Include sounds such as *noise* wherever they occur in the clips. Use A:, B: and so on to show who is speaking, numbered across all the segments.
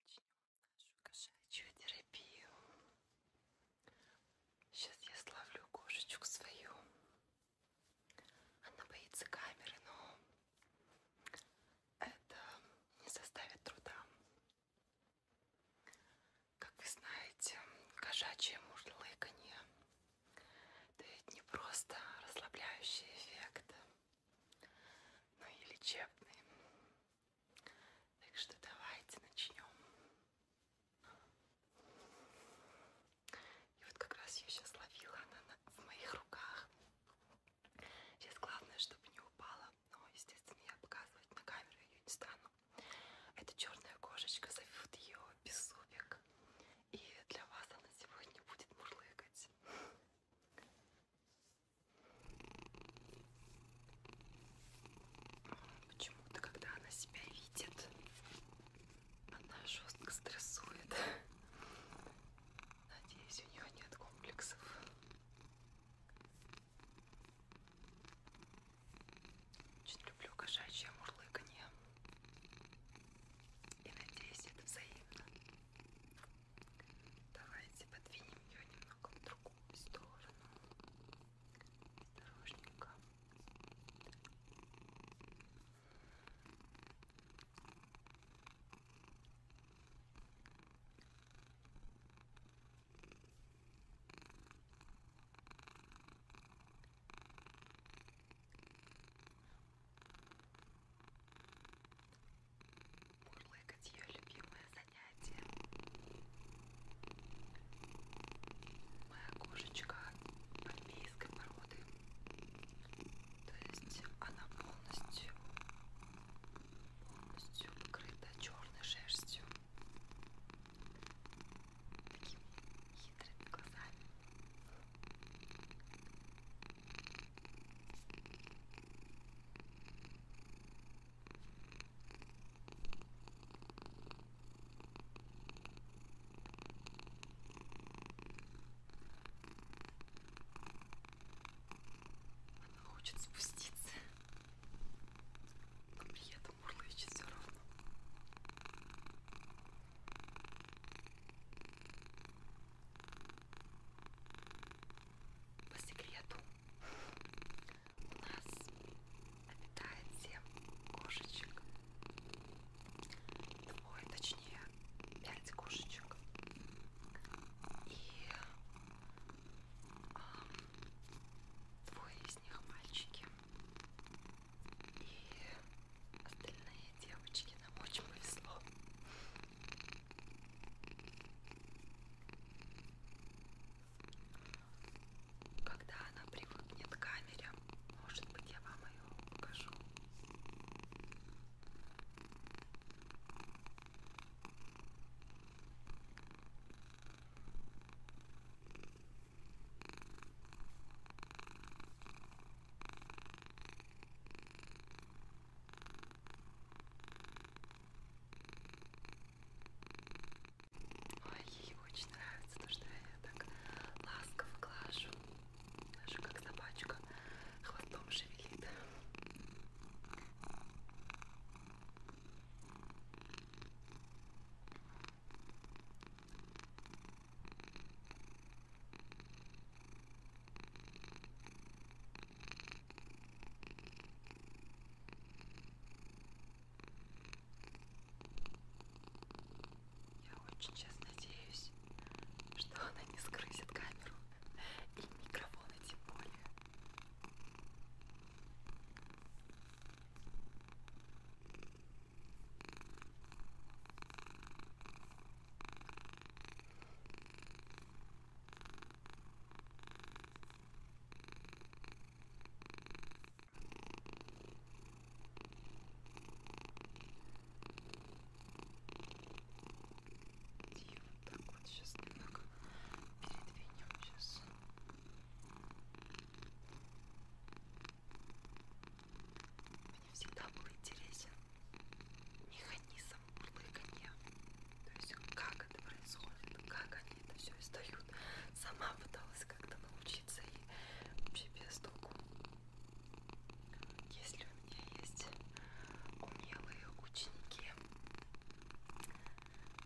A: Начнем нашу кошачью терапию. Сейчас я славлю кошечку свою. Она боится камеры, но это не составит труда. Как вы знаете, кошачье мурлыканье дает не просто расслабляющий эффект, ну и лечебные. Так что давайте начнем. И вот как раз я сейчас ловила, она в моих руках. Сейчас главное, чтобы не упала, но, естественно, я показывать на камеру ее не стану. Это черная кошечка, зовут ее Бессубик. И для вас она сегодня будет мурлыкать. Почему-то, когда она себя видит, она жестко стрессует. Надеюсь, у нее нет комплексов. Очень люблю кошачье мурлыканье. И надеюсь, это взаимно. Давайте подвинем ее немного в другую сторону. Осторожненько. Мурлыкать ее любимое занятие. Моя кошечка армейской породы. То есть она полностью полностью покрыта черной шерстью хитрыми глазами. Она хочет спуститься, но при этом мурлычет все равно. По секрету у нас обитает семь кошечек. Двое, точнее, пять кошечек. И а, двое из них мальчики. И остальные девочки нам очень повезло. Когда она привыкнет к камере, может быть, я вам ее покажу. Ой, ей очень нравится то, что я так ласково глажу, даже как собачка хвостом шевелит. Я очень сейчас надеюсь, что она не скрысит камеру и микрофоны тем более. И вот так вот сейчас немного передвинем сейчас. Ага. Мне всегда был интересен механизм мурлыканья. То есть как это происходит, как они это все издают. Сама пыталась как-то научиться и вообще без толку. Если у меня есть умелые ученики,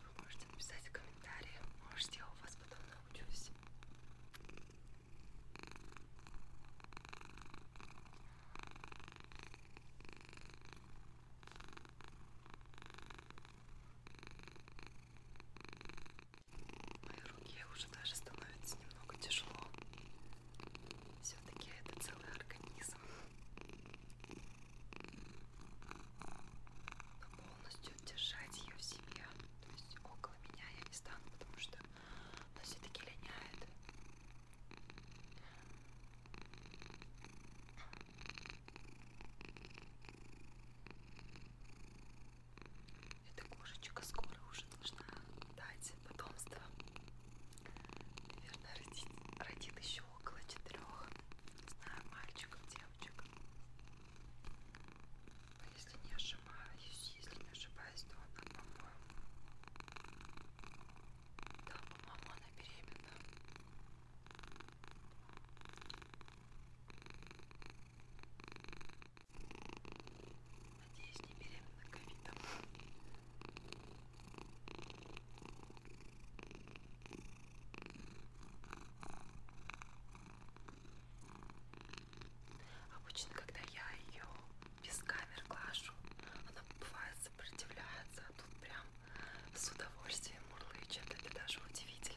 A: вы можете написать комментарии. Может, я у вас потом научусь. Моей руке уже даже становится немного тяжело. Все-таки это целый организм полностью держать ее в себе. То есть около меня я не стану, потому что она все-таки линяет. Эта кошечка скоро уже должна дать потомство. Наверное, родит, родит еще около четырех. Не знаю, мальчиков, девочек. Но а если не ошибаюсь, если не ошибаюсь, то она, по-моему. Да, по-моему, она беременна. Надеюсь, не беременна ковидом. Обычно, когда я ее без камер глажу, она бывает сопротивляется, а тут прям с удовольствием мурлычет. Это даже удивительно.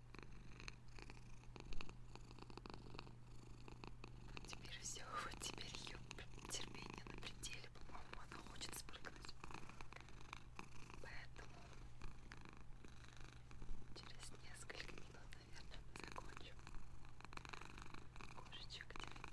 A: Теперь все, *laughs* вот теперь ее терпение на пределе, по-моему, она хочет спрыгнуть. Поэтому через несколько минут, наверное, мы закончим кошечек терапии.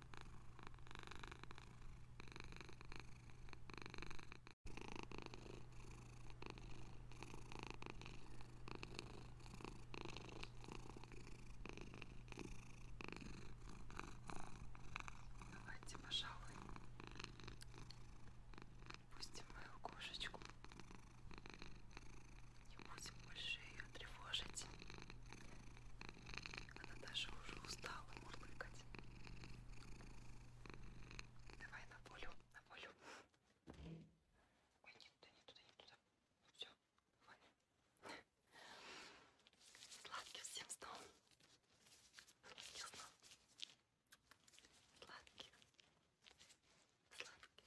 A: Давайте, пожалуй, пустим мою кошечку не будем больше ее тревожить. Она даже уже устала мурлыкать. Давай на волю, на волю. Ой, нет, да не туда, не туда. Все, хватит. Сладких всем снов. Сладких снов. Сладких. Сладких.